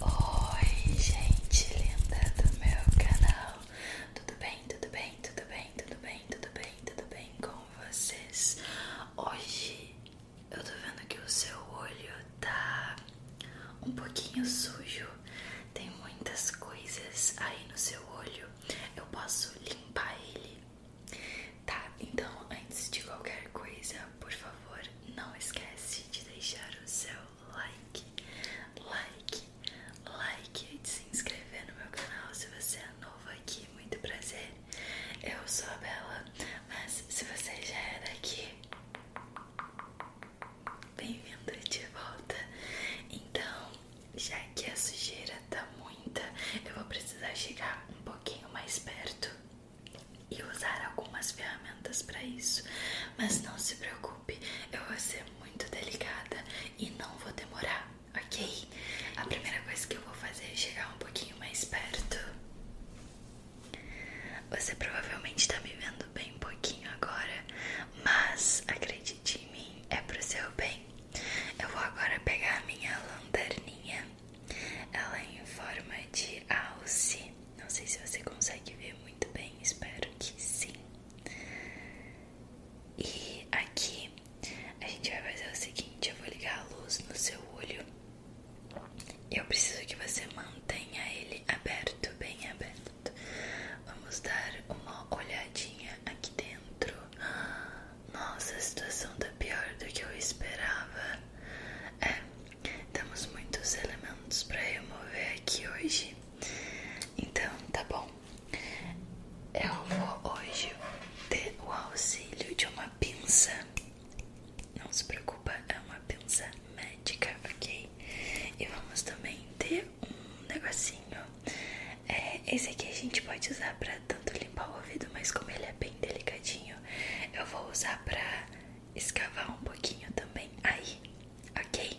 Oi, gente linda do meu canal. Tudo bem? Tudo bem? Tudo bem? Tudo bem? Tudo bem? Tudo bem com vocês? Hoje eu tô vendo que o seu olho tá um pouquinho sujo. Tem muitas coisas aí no seu olho. Eu posso limpar ele. Tá, então antes de qualquer coisa, por favor, por favor, não esquece de deixar o seu like, like, like e de se inscrever no meu canal se você é novo aqui. Muito prazer. Eu sou a Bela, mas se você já era é aqui bem-vindo de volta. Então, já que a sujeira tá muita, eu vou precisar chegar um pouquinho mais perto e usar algumas ferramentas para isso. Mas não se preocupe, eu vou ser muito delicada e não vou demorar, ok? A primeira coisa que eu vou fazer é chegar um pouquinho mais perto. Você provavelmente está me vendo bem pouquinho agora, mas acredite em mim, é para o seu bem. Eu vou agora pegar a minha lanterninha, ela é em forma de alce. Não sei se você consegue ver muito bem, espero que sim. E aqui a gente vai fazer o seguinte: eu vou ligar a luz no seu olho. Eu preciso que você mantenha ele aberto, bem aberto. Vamos dar uma olhadinha aqui dentro. Nossa, a situação tá pior do que eu esperava. É, temos muitos elementos para remover aqui hoje. Então, tá bom. Eu vou hoje ter o auxílio de uma pinça. Não se preocupa, é uma pinça médica, ok? E vamos também ter um negocinho. É, esse aqui a gente pode usar para tanto limpar o ouvido, mas como ele é bem delicadinho, eu vou usar para escavar um pouquinho também aí, ok?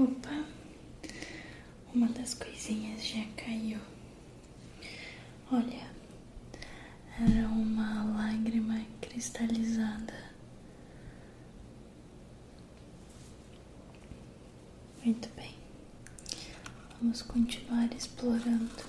Opa, uma das coisinhas já caiu. Olha, era uma lágrima cristalizada. Muito bem, vamos continuar explorando.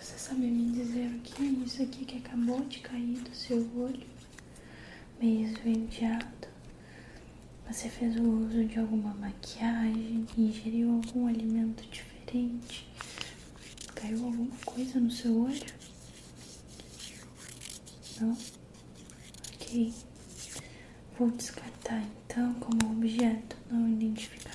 Você sabe me dizer o que é isso aqui que acabou de cair do seu olho, meio esverdeado? Você fez o uso de alguma maquiagem, ingeriu algum alimento diferente? Caiu alguma coisa no seu olho? Não? Ok. Vou descartar então como objeto não identificado.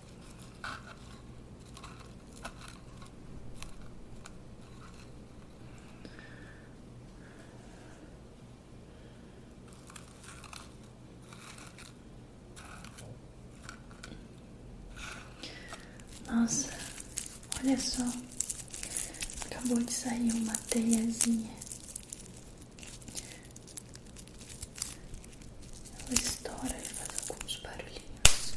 Nossa, olha só, acabou de sair uma teiazinha ela estoura e faz alguns barulhinhos.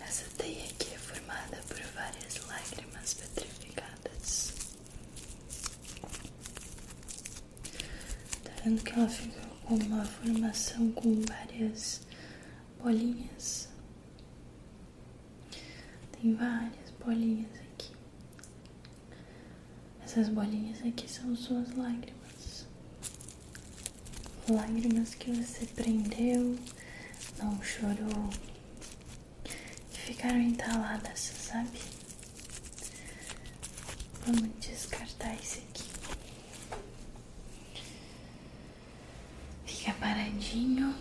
Essa teia aqui é formada por várias lágrimas petrificadas. Tá vendo que ela fica com uma formação com várias bolinhas? Tem várias bolinhas aqui. Essas bolinhas aqui são suas lágrimas. Lágrimas que você prendeu, não chorou, que ficaram entaladas, sabe? Vamos descartar esse aqui. Fica paradinho.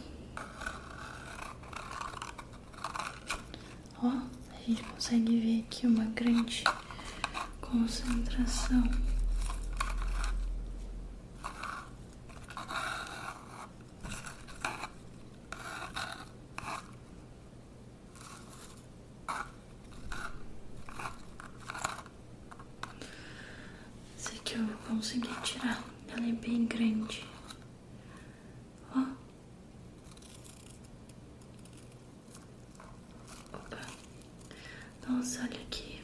Ó, a gente consegue ver aqui uma grande concentração. Esse aqui eu consegui tirar, ela é bem grande. Ó. Opa. Nossa, olha aqui.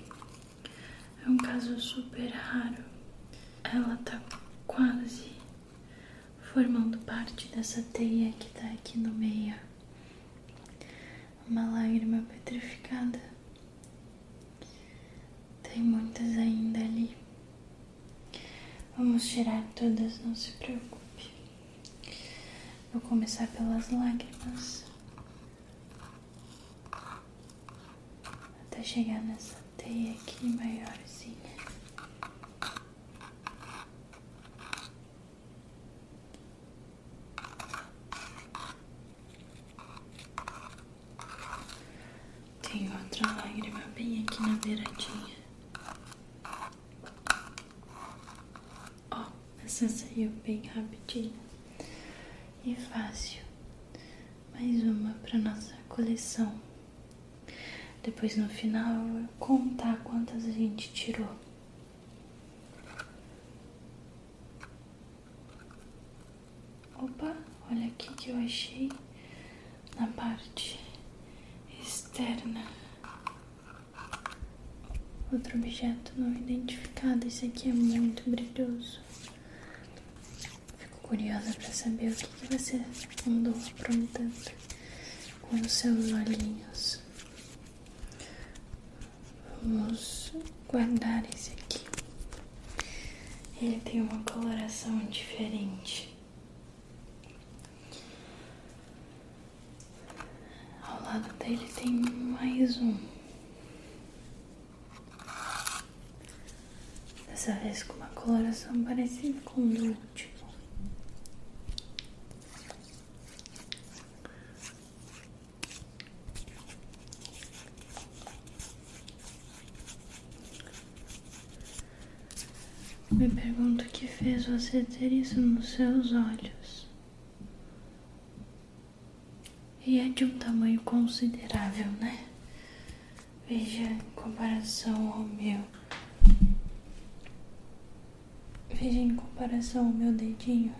É um caso super raro. Ela tá quase formando parte dessa teia que está aqui no meio. Uma lágrima petrificada. Tem muitas ainda ali. Vamos tirar todas, não se preocupe. Vou começar pelas lágrimas. Até chegar nessa teia aqui maiorzinha. Tem outra lágrima bem aqui na beiradinha. Ó, essa saiu bem rapidinho e fácil. Mais uma para nossa coleção. Depois no final eu vou contar quantas a gente tirou. Opa, olha aqui que eu achei na parte externa. Outro objeto não identificado. Esse aqui é muito brilhoso. Fico curiosa para saber o que, que você andou aprontando com os seus olhinhos. Vamos guardar esse aqui. Ele tem uma coloração diferente. Ao lado dele tem mais um. Dessa vez com uma coloração parecida com o do me pergunto o que fez você ter isso nos seus olhos. E é de um tamanho considerável, né? Veja em comparação ao meu. Veja em comparação o meu dedinho,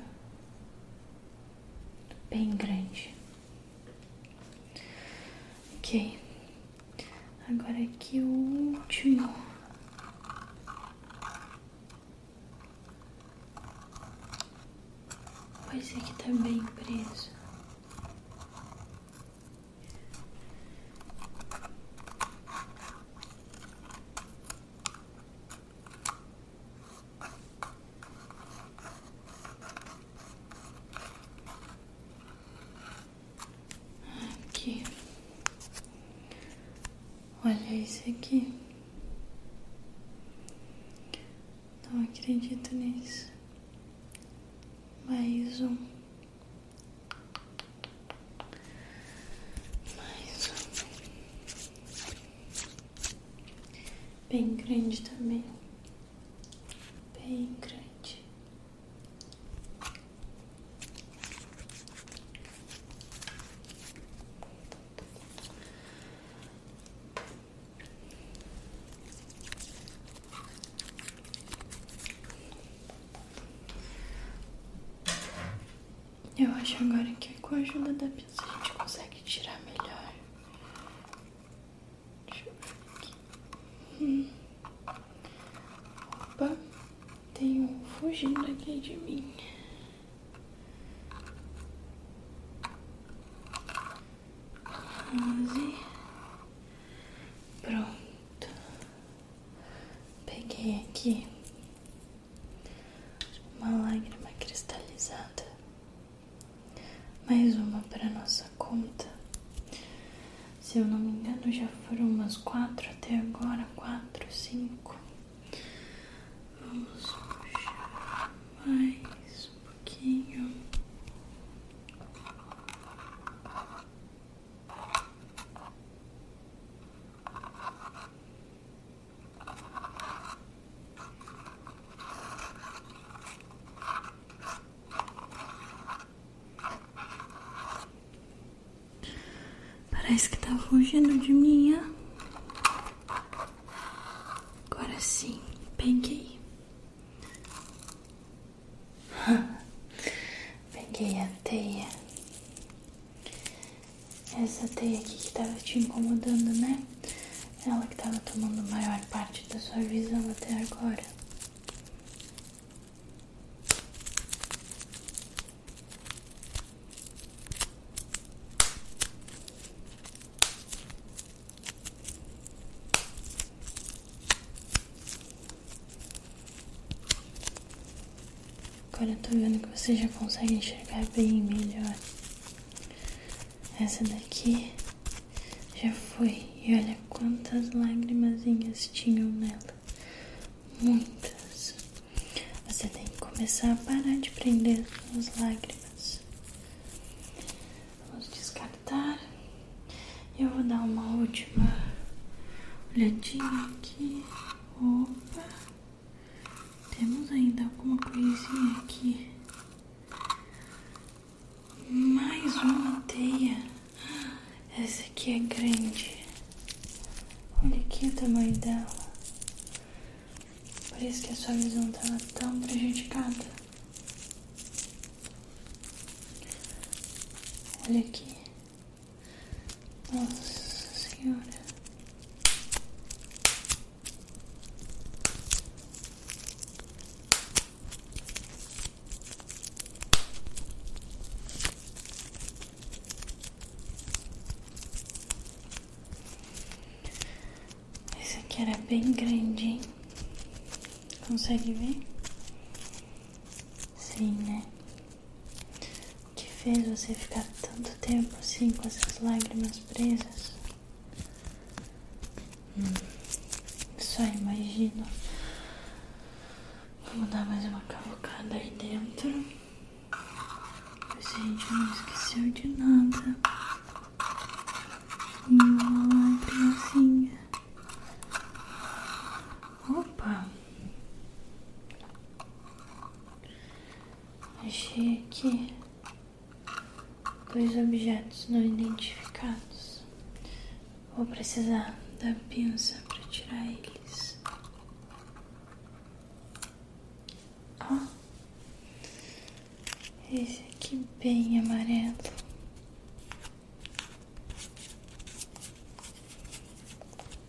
bem grande. Ok, agora aqui o último. Pois aqui é tá bem preso. Aqui, olha isso aqui. Não acredito nisso. Mais um mais bem grande também, bem grande. Eu acho agora que com a ajuda da pinça a gente consegue tirar melhor. Deixa eu ver aqui. Opa, tem um fugindo aqui de mim. Onze. Pronto. Peguei aqui uma lágrima cristalizada, mais uma para nossa conta. Se eu não me engano, já foram umas quatro até agora, quatro, cinco. Vamos puxar mais um pouquinho. Parece que tá fugindo de mim. Agora sim, peguei. Peguei a teia. Essa teia aqui que tava te incomodando, né? Ela que tava tomando maior parte da sua visão até agora. Agora eu tô vendo que você já consegue enxergar bem melhor. Essa daqui já foi. E olha quantas lagrimazinhas tinham nela. Muitas. Você tem que começar a parar de prender as lágrimas. Vamos descartar. Eu vou dar uma última olhadinha aqui. Opa! Temos ainda alguma coisinha aqui. Mais uma teia. Essa aqui é grande. Olha aqui o tamanho dela. Por isso que a sua visão estava tá tão prejudicada. Olha aqui. Nossa Senhora. Esse aqui era bem grande, hein? Consegue ver? Sim, né? O que fez você ficar tanto tempo assim com essas lágrimas presas? Hum, só imagino. Vamos dar mais uma cavocada aí dentro. A gente não esqueceu de nada. Uma lágrimazinha. Assim. Opa! Achei aqui dois objetos não identificados. Vou precisar da pinça para tirar eles. Ó, esse aqui bem amarelo.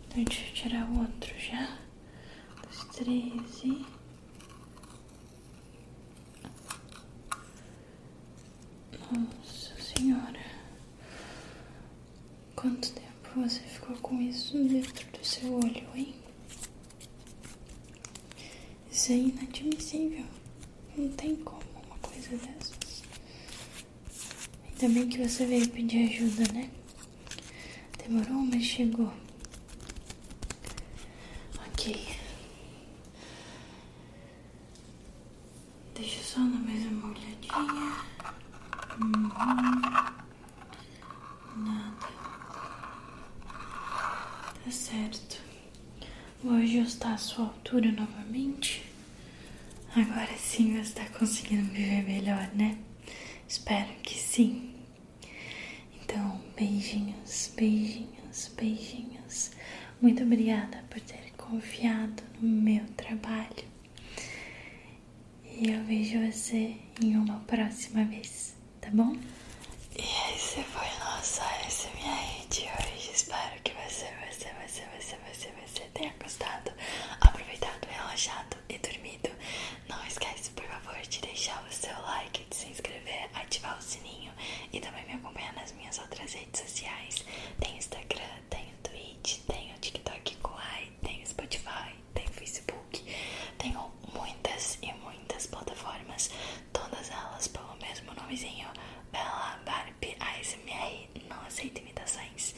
Então, deixa eu tirar o outro já. Dos treze. Nossa senhora. Quanto tempo você ficou com isso dentro do seu olho, hein? Isso é inadmissível. Não tem como uma coisa dessas. Ainda bem que você veio pedir ajuda, né? Demorou, mas chegou. Ok. Deixa só dar mais uma olhadinha. Uhum. Nada. Tá certo. Vou ajustar a sua altura novamente. Agora sim você está conseguindo viver melhor, né? Espero que sim. Então, beijinhos, beijinhos, beijinhos. Muito obrigada por ter confiado no meu trabalho. E eu vejo você em uma próxima vez, tá bom? E esse foi o nosso ASMR é de hoje. Espero que você, você, você, você, você, você tenha gostado, aproveitado, relaxado e dormido. Não esquece, por favor, de deixar o seu like, de se inscrever, ativar o sininho e também me acompanhar nas minhas outras redes sociais. Tenho Instagram, tenho o Twitch, tem TikTok Kuai, tem Spotify, tenho Facebook. Tenho muitas e muitas plataformas, todas elas pelo mesmo nomezinho. Bela Bar Harp ASMR não aceita imitações.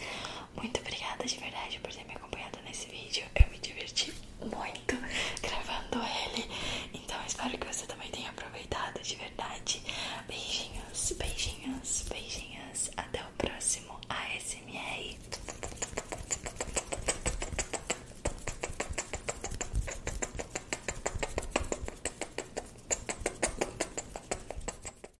Muito obrigada de verdade por ter me acompanhado nesse vídeo. Eu me diverti muito gravando ele. Então espero que você também tenha aproveitado de verdade. Beijinhos, beijinhos, beijinhos. Até o próximo ASMR.